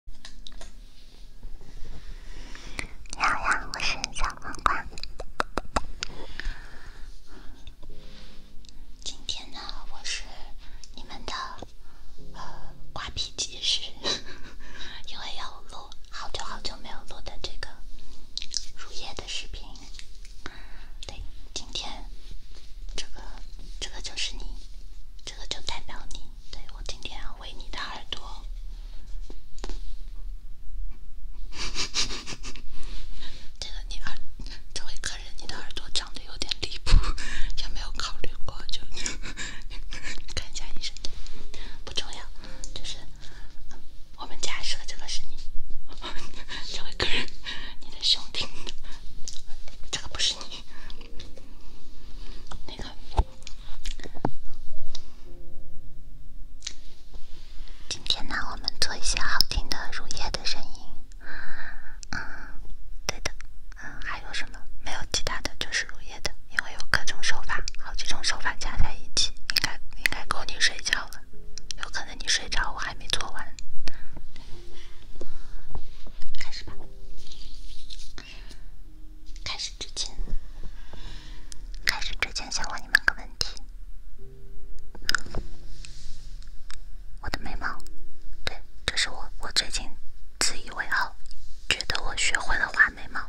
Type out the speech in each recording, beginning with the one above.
你好呀，我是小黄瓜。今天呢，我是你们的呃瓜皮及时，因为要录好久好久没有录的这个乳液的视频。对，今天这个这个就是你，这个就代表你。对我今天要喂你的耳朵，这个你耳，这位客人你的耳朵长得有点离谱，有没有考虑过就看一下医生的？不重要，就是我们假设这个是你，这位客人你的兄弟，这个不是你，那个。今天呢，我们做一些好听的乳液的声音。嗯，对的。嗯，还有什么？没有其他的就是乳液的，因为有各种手法，好几种手法加在一起，应该应该够你睡觉了。有可能你睡着，我还没做完。开始吧。开始之前，开始之前，想问你们个问题。我的眉毛，对，这是我我最近自以为傲，觉得我学会了画眉毛。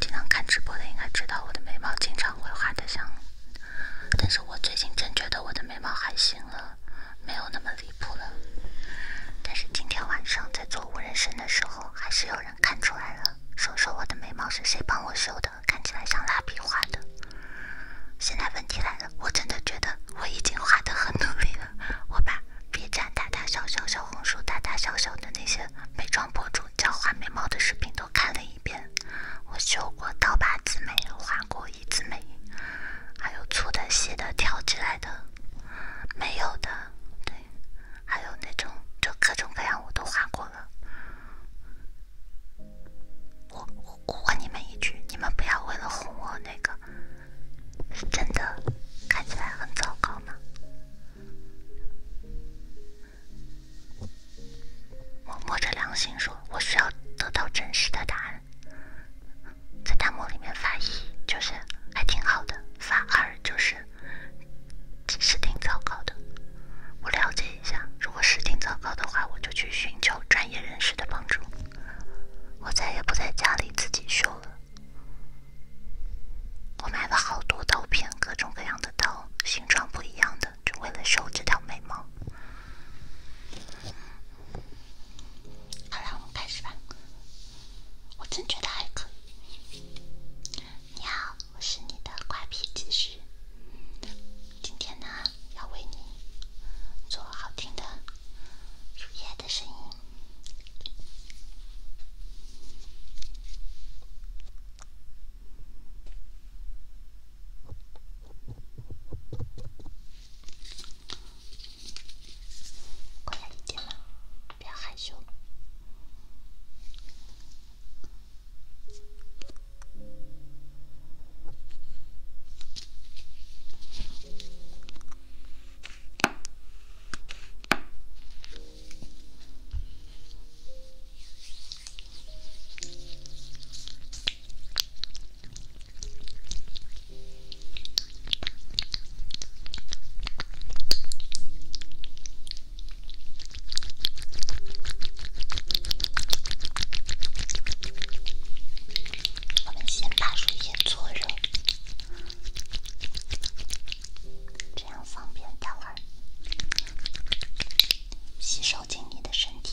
经常看直播的应该知道，我的眉毛经常会画的像，但是我最近真觉得我的眉毛还行了。没有那么离谱了，但是今天晚上在做无人生的时候，还是有人看出来了。说说我的眉毛是谁帮我修的，看起来像蜡笔画的。现在问题来了，我真的觉得我已经画得很努力了。我把 B 站大大小小、小红书大大小小的那些美妆博主教画眉毛的视频都看了一遍。我修过刀疤子眉，画过一字眉。还有粗的、细的、挑起来的，没有的，对，还有那种就各种各样我都画过了。我我问你们一句，你们不要为了哄我那个，是真的，看起来很糟糕吗？我摸着良心说，我需要得到真实的答案。在弹幕里面发一就是还挺好的，发二就是是挺糟糕的。我了解一下，如果是挺糟糕的话，我就去寻求专业人士的帮助。我再也不在家里自己修了。我买了好多刀片，各种各样的刀，形状不一样的，就为了修这条眉毛。好了，我们开始吧。我真觉得还可以。你好，我是你的乖皮技师，今天呢要为你做好听的树叶的声音。过来一点嘛，不要害羞。我们先把水液搓热，这样方便待会儿吸收进你的身体。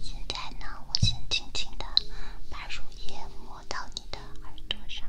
现在呢，我先轻轻的把乳液抹到你的耳朵上。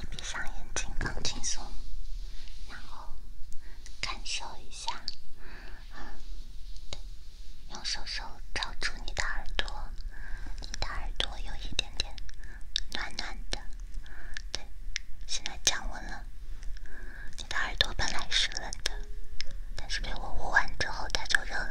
你闭上眼睛更轻松，然后感受一下。用手手罩住你的耳朵，你的耳朵有一点点暖暖的。对，现在降温了，你的耳朵本来是。的，但是被我捂完之后，它就热了。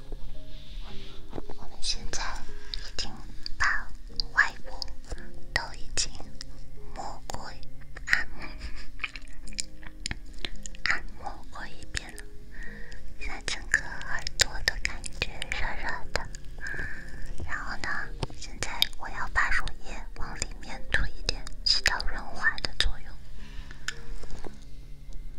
我们现在已经把外部都已经摸过、按摩、按摩过一遍了，现在整个耳朵都感觉热热的。然后呢，现在我要把乳液往里面涂一点，起到润滑的作用。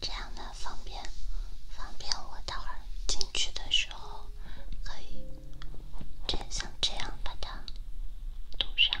这样呢，方便，方便我待会儿进去的时候可以，就像这样把它堵上。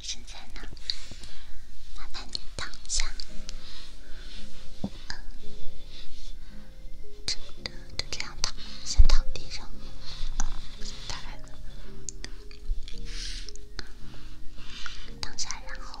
现在呢？麻烦你躺下，真的就这样躺，先躺地上，再来，躺下，然后。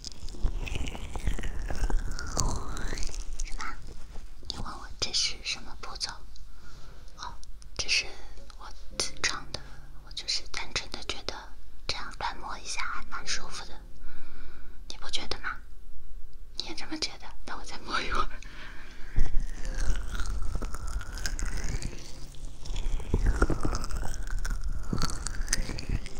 什么？你问我这是什么步骤？好，这是我自创的，我就是单纯的觉得这样乱摸一下还蛮舒服的，你不觉得吗？你也这么觉得？那我再摸一会儿。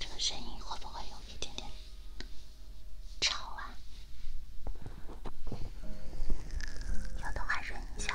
这个声音会不会有一点点吵啊？要的话忍一下。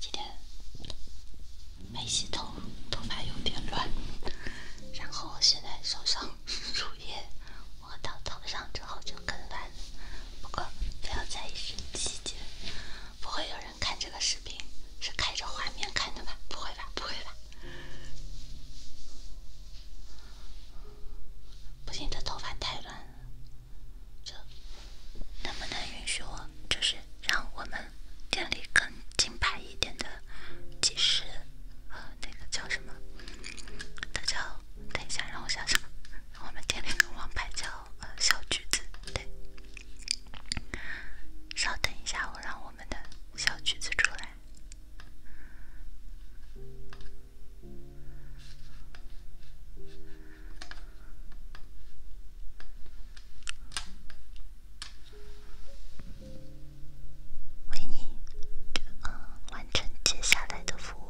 今天没洗头，头发有点乱。然后现在手上乳 液抹到头上之后就更乱。不过不要在意细节，不会有人。看这个视频是开着画面看的吧？不会吧，不会吧！不行，这头发太乱了。这能不能允许我，就是让我们店里更金牌一点的技师，呃，那个叫什么？他叫……等一下，让我想想，我们店里王牌叫……小橘子，对，稍等一下，我让我们的小橘子出来，为你，呃，完成接下来的服务。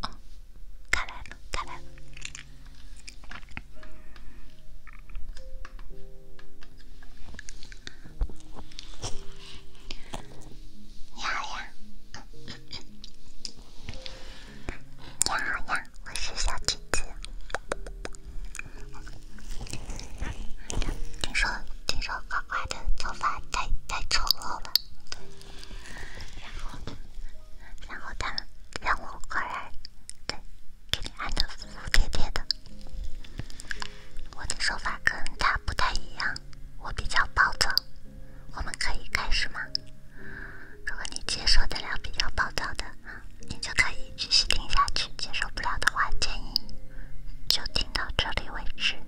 啊！卡啦卡啦！你好呀，你好呀，我是小橘子。听说听说，乖乖的头发太太丑了。对，然后，他让我个人，对，给你按的服服帖帖的。我的手法跟他不太一样，我比较暴躁。我们可以开始吗？如果你接受得了比较暴躁的，你就可以继续听下去；接受不了的话，建议就听到这里为止。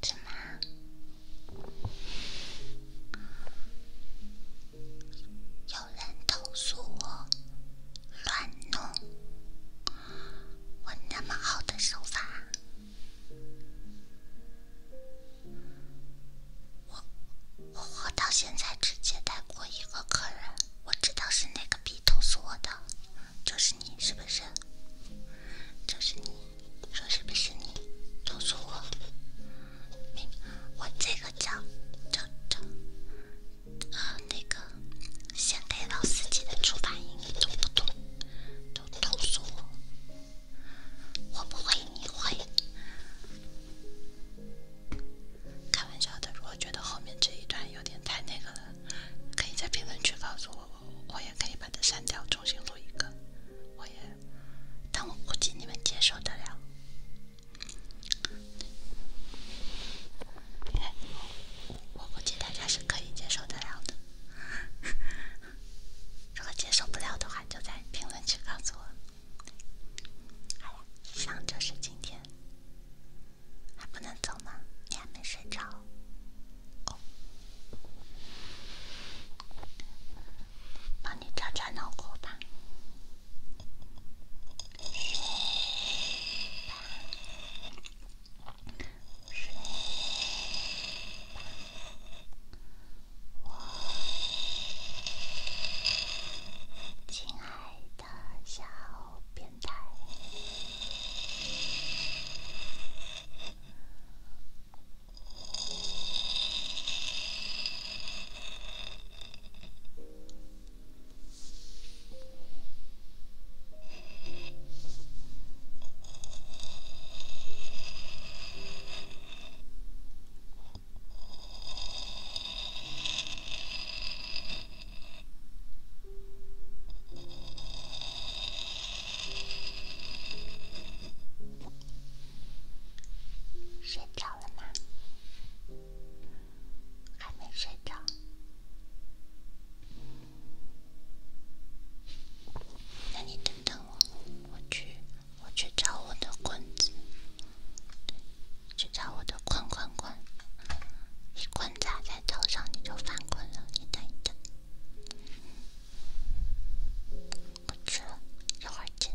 怎么？有人投诉。我？乱弄！我那么好的手法，我我到现在只接待过一个客人，我知道是哪个逼投诉我的，就是你，是不是？就是你，说是不是你投诉我？我这个叫叫叫。啊，那个，先给老司机的初反应，不都都都诉我，我会你会，开玩笑的。如果觉得后面这一段有点太那个了，可以在评论区告诉我，我也可以把它删掉，重新录一个。我也，但我估计你们接受得了。我估计大家是可以接受得了的，如果接受不了的话，就在评论区告诉我。哎呀，想着是今天，还不能走吗？你还没睡着？帮你找找脑瓜吧。我亲爱的，小变态。睡着了吗？还没睡着？那你等等我，我去，我去找我的棍子，去找我的棍棍棍，一棍砸在头上你就犯困了，你等等，我去了，一会儿见。